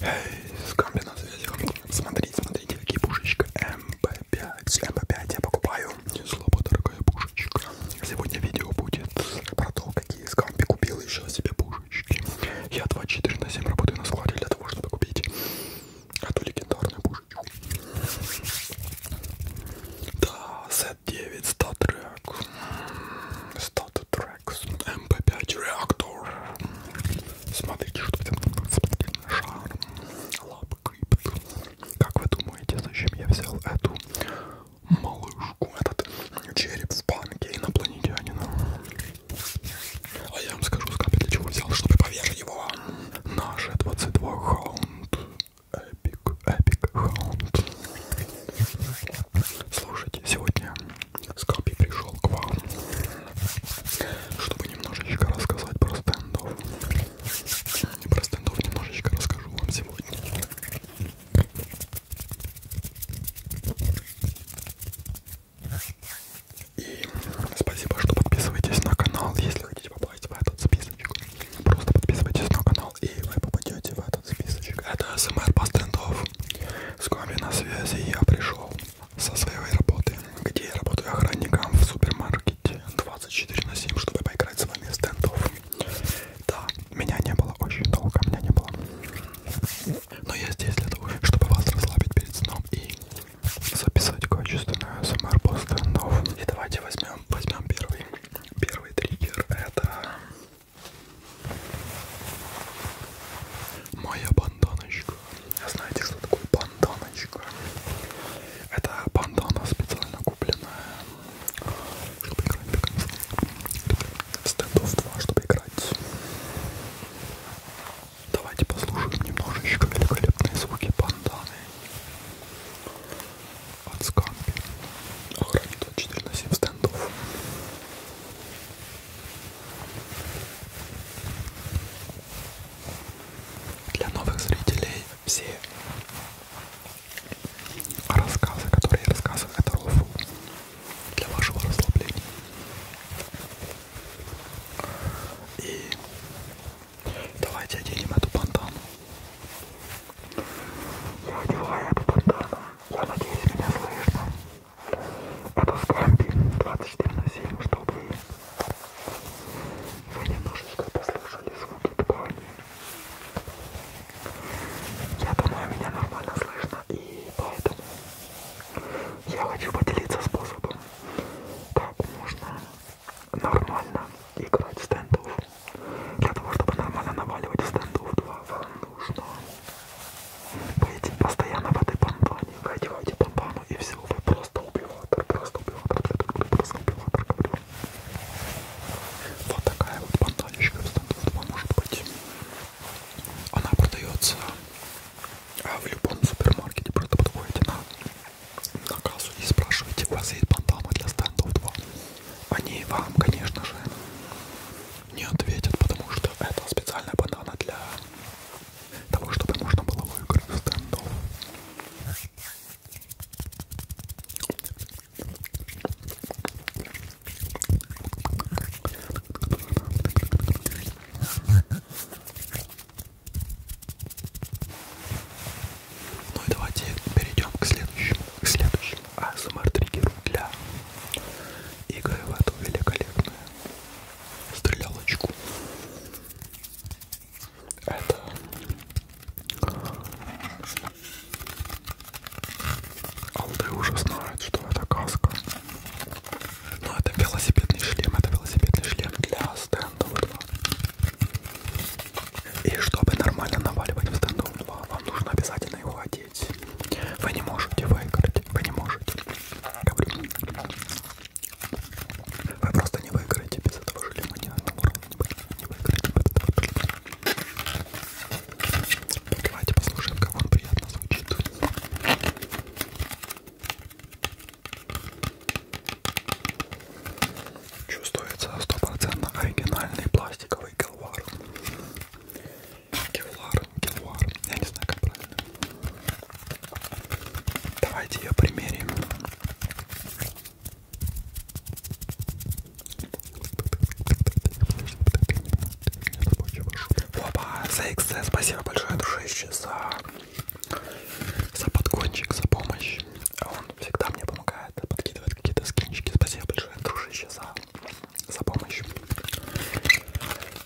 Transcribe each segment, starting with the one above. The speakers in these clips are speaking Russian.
Эй, скамби на связи. Смотри, смотрите, какие пушечка МП5. МП5 я покупаю. Не слабо дорогая пушечка. Сегодня видео будет про то, какие скамби купил еще себе пушечки. Я 24 на 7 работаю на складе для того, чтобы купить эту легендарную пушечку. Да, Z9, статрек. Статрек. Рекс МП5 реактор. Смотрите, что это шар. Лапкрипт. Как вы думаете, зачем я взял эту малышку, этот череп в банке инопланетянина? А я вам скажу, с для чего взял, чтобы повесить его. Наше 22 хаунд. Эпик, эпик хаунд. Слушайте, сегодня Скапи пришел к вам, чтобы немножечко рассказать про стендов. И про стендов немножечко расскажу вам сегодня. И спасибо, что подписываетесь на канал, если хотите попасть в этот списочек. Просто подписывайтесь на канал и вы попадете в этот списочек. Это СМР по стендов. С вами на связи я пришел со своей работы, где я работаю охранником в супермаркете 24 на 7, чтобы поиграть с вами стендов. Да, меня не было очень долго, меня не было. Но я здесь для того, чтобы вас расслабить перед сном и записать качественное СМР по стендов. И давайте возьмем, возьмем первый. Первый триггер это Моя банданочка. А знаете, что такое банданочка? Это бандана специально купленная, чтобы играть в стендов 2, чтобы играть. Давайте послушаем немножечко великолепные звуки банданы от скампи. Охранит 24 на 7 стендов. Для новых зрителей все рассказы, которые я рассказываю, это рофл для вашего расслабления. И давайте оденем эту пантану. Я одеваю эту пантану. Я надеюсь, меня слышно. Это Скамби 24 на 7, чтобы вы немножечко послушали звуки дыхания. Я думаю, меня нормально слышно, и поэтому я хочу поделиться способом, как можно нормально играть в стендов. Для того, чтобы нормально наваливать в стендов 2, вам нужно Поедем постоянно в этой помпане. Вы одеваете помпану и все, вы просто убиватор, просто убиватор, просто убиватор, говорю. Вот такая вот панталечка может быть. Она продается а, в любом супермаркете, просто подходите на, на кассу и спрашиваете, у вас есть пантама для стендов 2? Они вам, конечно же, не ответят, потому что это специальная банана для того, чтобы можно было выиграть в стендов. Ну и давайте перейдем к следующему, к следующему АСМР-триггеру для игры в эту великолепную стрелялочку. Это Алды уже знают, что это каска. Но это велосипедный шлем, это велосипедный шлем для стендов 2. И чтобы нормально наваливать в стендов 2, вам нужно обязательно его одеть сидеть. Вы не можете выиграть. Вы не можете. Вы просто не выиграете без этого шлема ни на одном уровне. Не выиграете без этого. Давайте послушаем, как он приятно звучит. Чувствуется стопроцентно оригинальный пластиковый колвар. Кевлар, кевлар. Я не знаю, как правильно. Давайте ее примерим. Опа, за XC, спасибо большое, дружище, за, за подгончик, за помощь. Он всегда мне помогает, подкидывает какие-то скинчики. Спасибо большое, дружище, за, за помощь.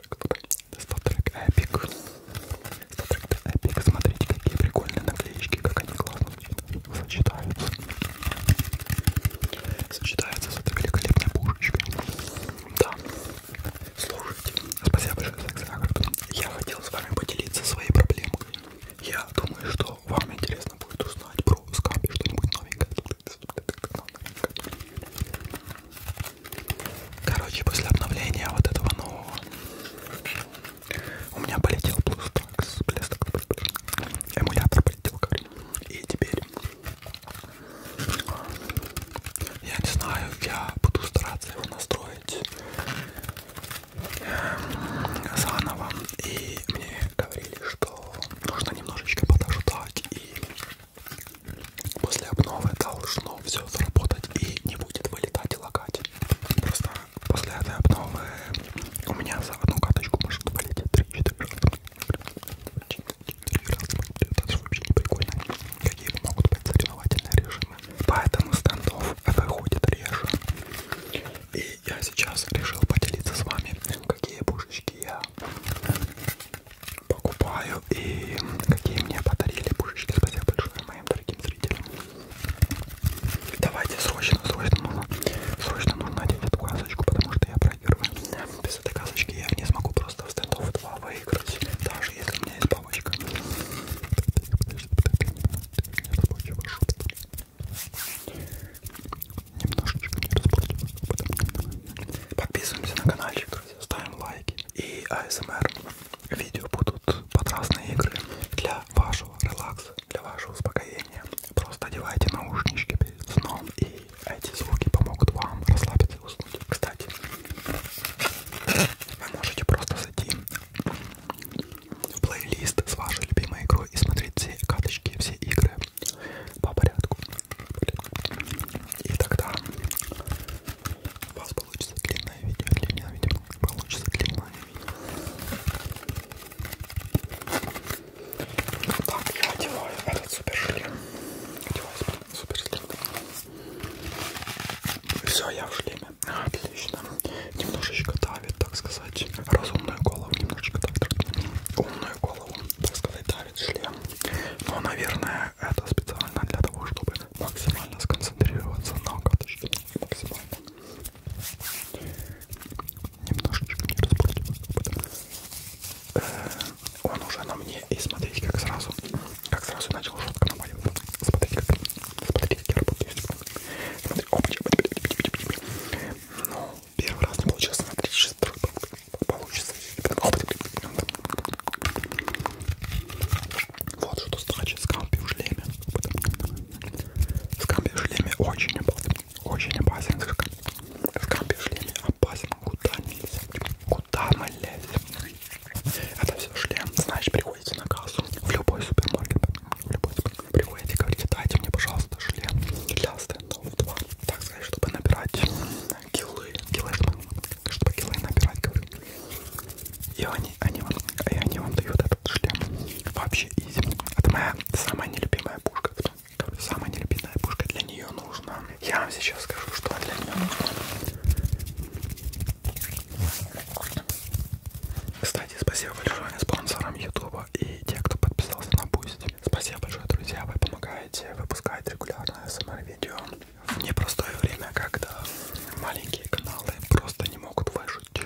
трек туда. Став трек эпик. Став трек эпик. Смотрите, какие прикольные наклеечки, как они классно сочетаются. Сочетаются с этой великолепной пушечкой. Да. Слушайте, спасибо большое за экстракт. Я хотел с вами поделиться своей проблемкой. Я думаю, что вам интересно будет узнать про скампи что-нибудь новенькое. Короче, после обновления вот этого нового у меня полетел Bluestacks, эмулятор полетел, короче. И теперь я не знаю, я буду стараться его настроить эм, заново. И мне говорили, что нужно немножечко подождать и После обновы должно все заработать и не будет вылетать и лагать. Просто после этой обновы у меня за одну каточку может вылететь 3-4 раза. Это же вообще не прикольно. Какие могут быть соревновательные режимы. Поэтому стендов выходит реже. И я сейчас решил поделиться с вами, какие пушечки я покупаю и какие мне подарили пушечки. Спасибо большое моим дорогим зрителям. Давайте срочно, срочно нужно, срочно нужно одеть эту касочку, потому что я проигрываю. Без этой касочки я не смогу просто в стендов 2 выиграть, даже если у меня есть палочка. Немножечко не Подписываемся на каналчик поддерживать, ставим лайки. И АСМР видео будут под разные игры для вашего релакса, для вашего успокоения. Просто одевайте наушнички перед сном, и эти звуки помогут вам расслабиться и уснуть. Кстати, вы можете просто зайти в плейлист с вашей любимой игрой и смотреть все карточки, все игры, по порядку. И тогда у вас получится длинное видео. Для меня, видимо, получится длинное видео. Так, я одеваю этот супер шлем. Одеваю супер шлем. Все, я в шлеме. Отлично. Немножечко давит, так сказать, разумную голову. Немножечко давит умную голову, так сказать, да поставить шлем. Но, наверное, это специально для того, чтобы максимально сконцентрироваться на каточке. Максимально. Немножечко не э, Он уже на мне. И смотрите, как сразу, как сразу начал жутко напаливаться. Смотрите, как, смотрите, как я работаю. Смотри, опа, ну, первый раз не получилось, смотрите, сейчас второй попытка получится. Вот что значит скампи в шлеме. Скампи в шлеме очень опасен. Очень опасен. Скампи в шлеме опасен. Куда мы лезем? Куда мы лезем? Это все шлем. Знаешь, приходите на кассу в любой супермаркет. В любой супермаркет. Приходите и говорите, дайте мне, пожалуйста, шлем для стендов 2. Так сказать, чтобы набирать килы, килы, чтобы, чтобы килы набирать, говорю. И они, они, вам, и они вам дают этот шлем. Вообще изи. Это моя самая нелюбимая пушка. Самая нелюбимая пушка для нее нужна. Я вам сейчас скажу, что для нее нужно. Кстати, спасибо большое спонсорам Ютуба и те, кто подписался на Boost. Спасибо большое, друзья, вы помогаете выпускать регулярное СМР-видео в непростое время, когда маленькие каналы просто не могут выжить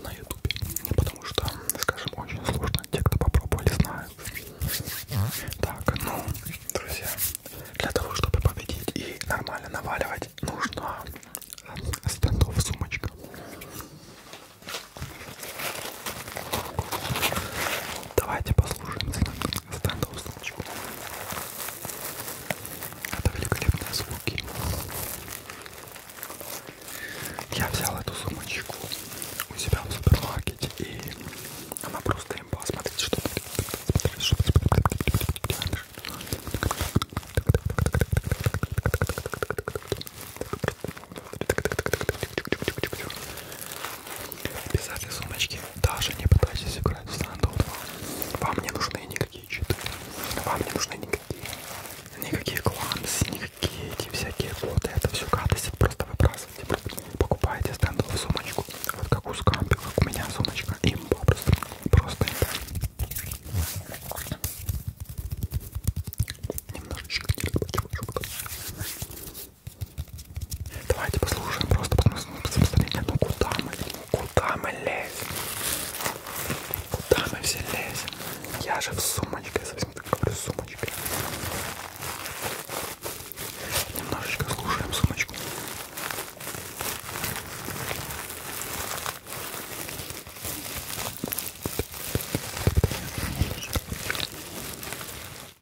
на ютубе. Потому что, скажем, очень сложно, те, кто попробовали, знают. Так, ну, друзья, для того, чтобы победить и нормально наваливать, нужно стендов сумочка. Давайте послушаем стендов стандал солнечку. Это великолепные звуки. Я взял эту сумочку у себя в супермаркете и она просто имба. Смотрите, что без этой сумочки даже не пытайтесь играть в Standout 2. Вам не нужны никакие читы, вам не нужны никакие, никакие клансы, никакие эти всякие коды, это все гадость, это просто выбрасывайте. Покупаете стендовую сумочку, вот как у Скампи, как у меня сумочка, имба просто, просто имба. Немножечко не Давайте послушаем, просто посмотрите, ну куда мы, куда мы лезем, куда мы все лезем. Я же в сумочке, совсем так говорю, сумочкой. Немножечко слушаем сумочку.